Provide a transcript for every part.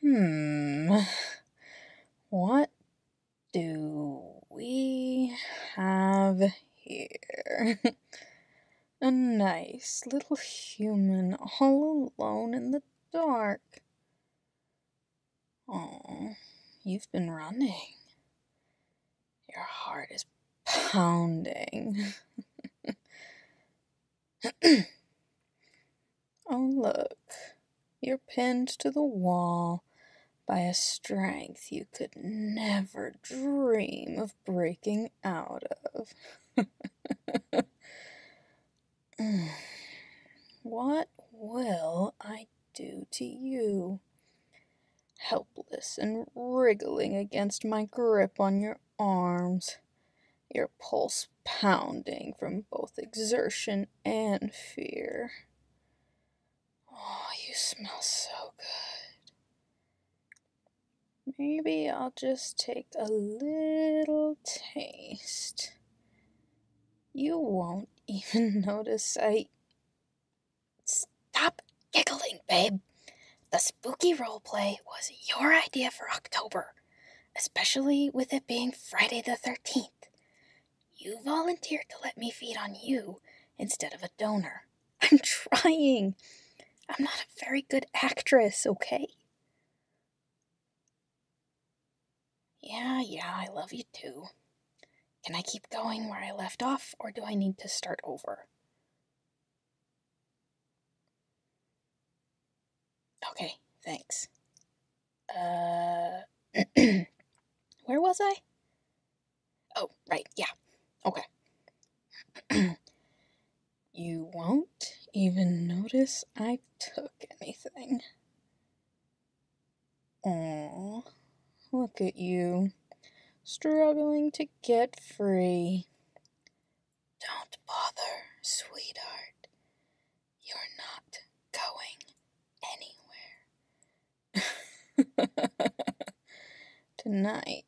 Hmm. What do we have here? A nice little human all alone in the dark. Oh, you've been running. Your heart is pounding. oh, look. You're pinned to the wall by a strength you could never dream of breaking out of. what will I do to you? helpless and wriggling against my grip on your arms, your pulse pounding from both exertion and fear. Oh, you smell so good. Maybe I'll just take a little taste. You won't even notice I Stop giggling, babe. The spooky role play was your idea for October, especially with it being Friday the 13th. You volunteered to let me feed on you instead of a donor. I'm trying. I'm not a very good actress, okay? Yeah, yeah, I love you too. Can I keep going where I left off, or do I need to start over? Okay, thanks. Uh, where was I? Oh, right, yeah. Okay. you won't even notice I took anything. Aw, look at you struggling to get free. Don't bother, sweetheart. You're not going anywhere. Tonight,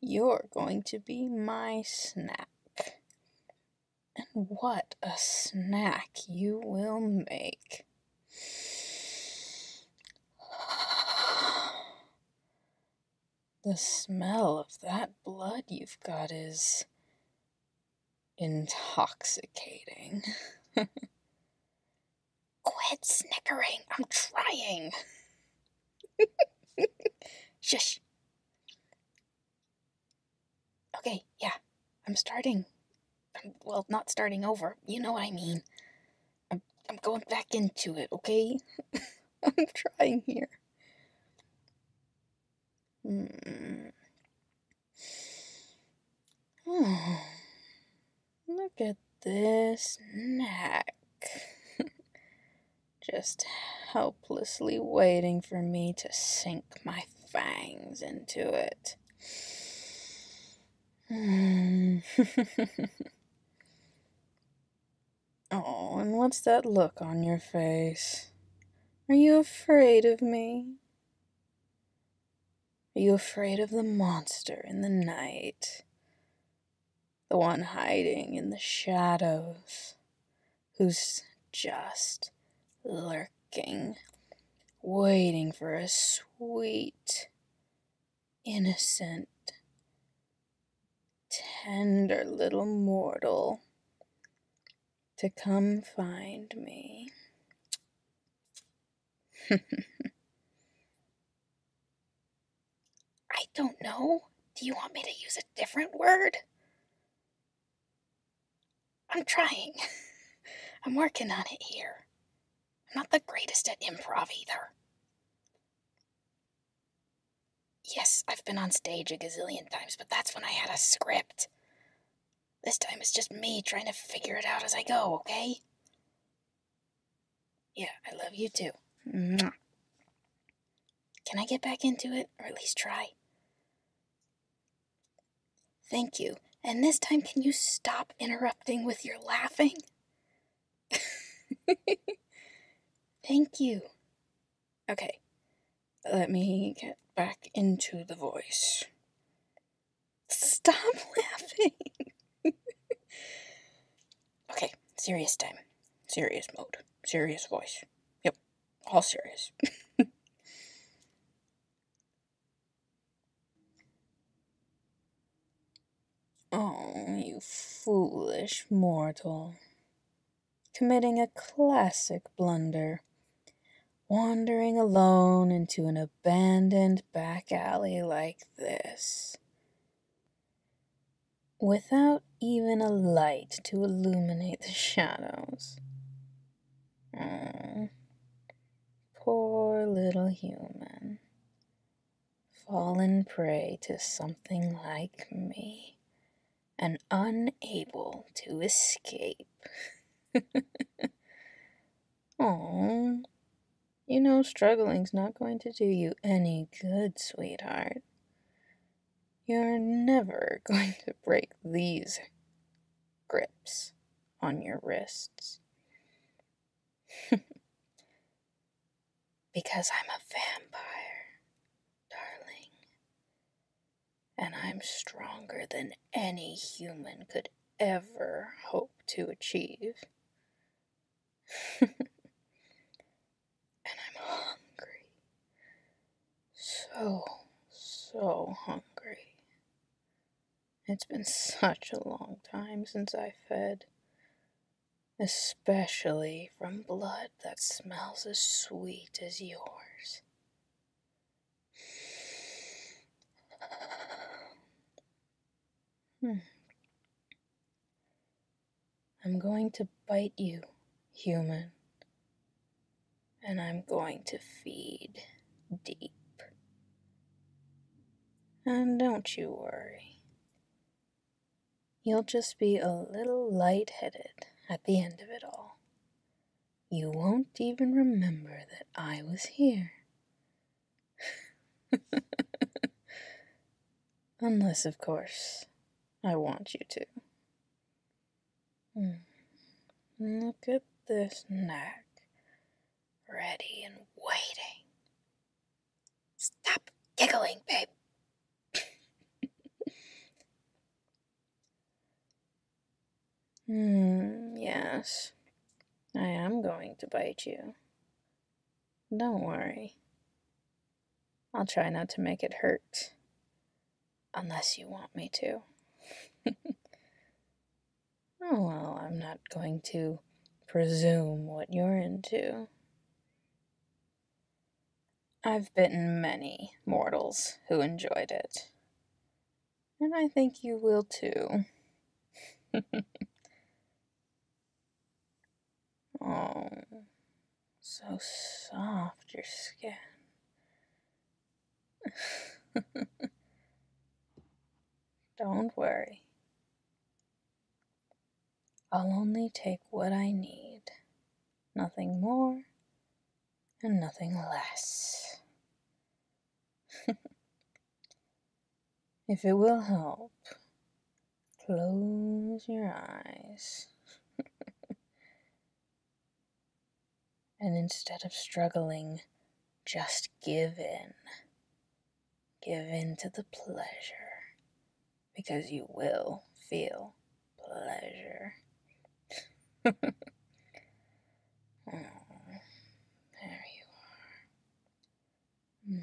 you're going to be my snack. And what a snack you will make! The smell of that blood you've got is intoxicating. Quit snickering. I'm trying. Shush. Okay, yeah. I'm starting. well, not starting over. You know what I mean. I'm, I'm going back into it, okay? I'm trying here. Oh, look at this neck. Just helplessly waiting for me to sink my fangs into it oh, and what's that look on your face? Are you afraid of me? Are you afraid of the monster in the night? The one hiding in the shadows, who's just lurking, waiting for a sweet innocent, tender little mortal to come find me. I don't know. Do you want me to use a different word? I'm trying. I'm working on it here. I'm not the greatest at improv either. Yes, I've been on stage a gazillion times, but that's when I had a script. This time it's just me trying to figure it out as I go, okay? Yeah, I love you too. Can I get back into it, or at least try? Thank you. And this time, can you stop interrupting with your laughing? Thank you. Okay, let me get back into the voice. Stop laughing. okay, serious time. Serious mode. Serious voice. Yep, all serious. Oh, you foolish mortal, committing a classic blunder, wandering alone into an abandoned back alley like this, without even a light to illuminate the shadows. Mm. Poor little human. Fallen prey to something like me and unable to escape. Oh, you know, struggling's not going to do you any good, sweetheart. You're never going to break these grips on your wrists. because I'm a vampire, darling. And I'm stronger than any human could ever hope to achieve. and I'm hungry so, so hungry. It's been such a long time since I fed, especially from blood that smells as sweet as yours. Hmm. I'm going to bite you, human and I'm going to feed deep. And don't you worry, you'll just be a little light-headed at the end of it all. You won't even remember that I was here. Unless, of course, I want you to. Hmm. Look at this neck, ready and waiting. Stop giggling, babe. Hmm, yes. I am going to bite you. Don't worry. I'll try not to make it hurt. Unless you want me to. oh, well, I'm not going to presume what you're into. I've bitten many mortals who enjoyed it. And I think you will too. oh, so soft, your skin. Don't worry. I'll only take what I need, nothing more and nothing less. if it will help, close your eyes. And instead of struggling, just give in. Give in to the pleasure. Because you will feel pleasure. oh, there you are. Hmm.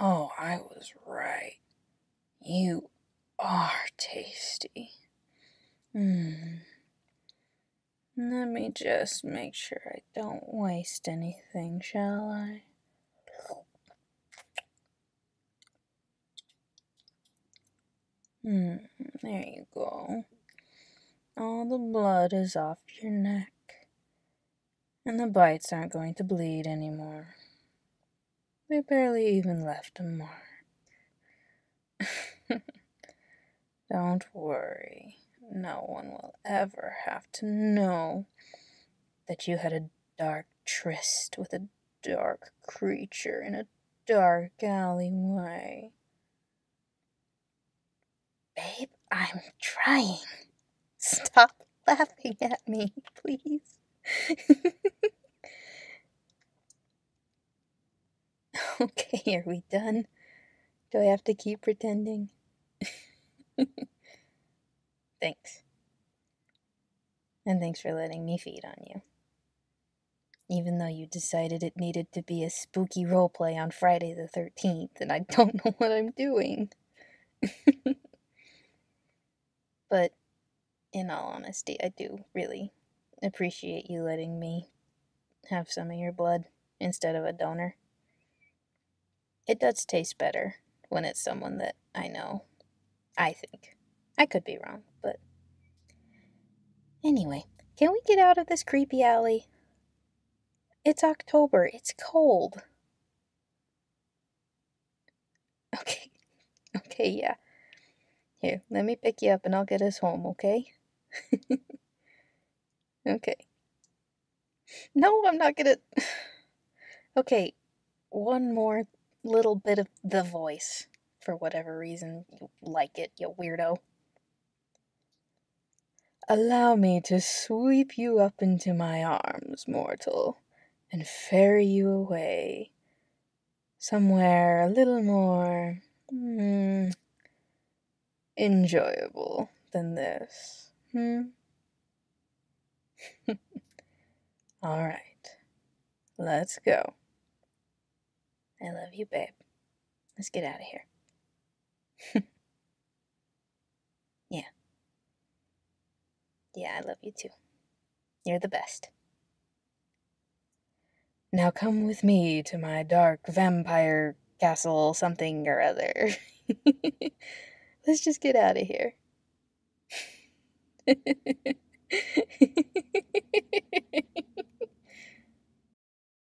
Oh, I was right. You are tasty. Mm. Let me just make sure I don't waste anything, shall I? Mm, there you go. All the blood is off your neck and the bites aren't going to bleed anymore. We barely even left a mark. Don't worry, no one will ever have to know that you had a dark tryst with a dark creature in a dark alleyway. Babe, I'm trying. Stop laughing at me, please. okay, are we done? Do I have to keep pretending? thanks. And thanks for letting me feed on you. Even though you decided it needed to be a spooky role play on Friday the 13th, and I don't know what I'm doing. but in all honesty, I do really appreciate you letting me have some of your blood instead of a donor. It does taste better when it's someone that I know. I think. I could be wrong, but. Anyway, can we get out of this creepy alley? It's October. It's cold. Okay. Okay, yeah. Here, let me pick you up and I'll get us home, okay? okay. No, I'm not gonna. Okay, one more little bit of the voice for whatever reason you like it, you weirdo. Allow me to sweep you up into my arms, mortal, and ferry you away somewhere a little more mm, enjoyable than this. Hmm? All right, let's go. I love you, babe. Let's get out of here. Yeah. Yeah, I love you too. You're the best. Now come with me to my dark vampire castle something or other. Let's just get out of here.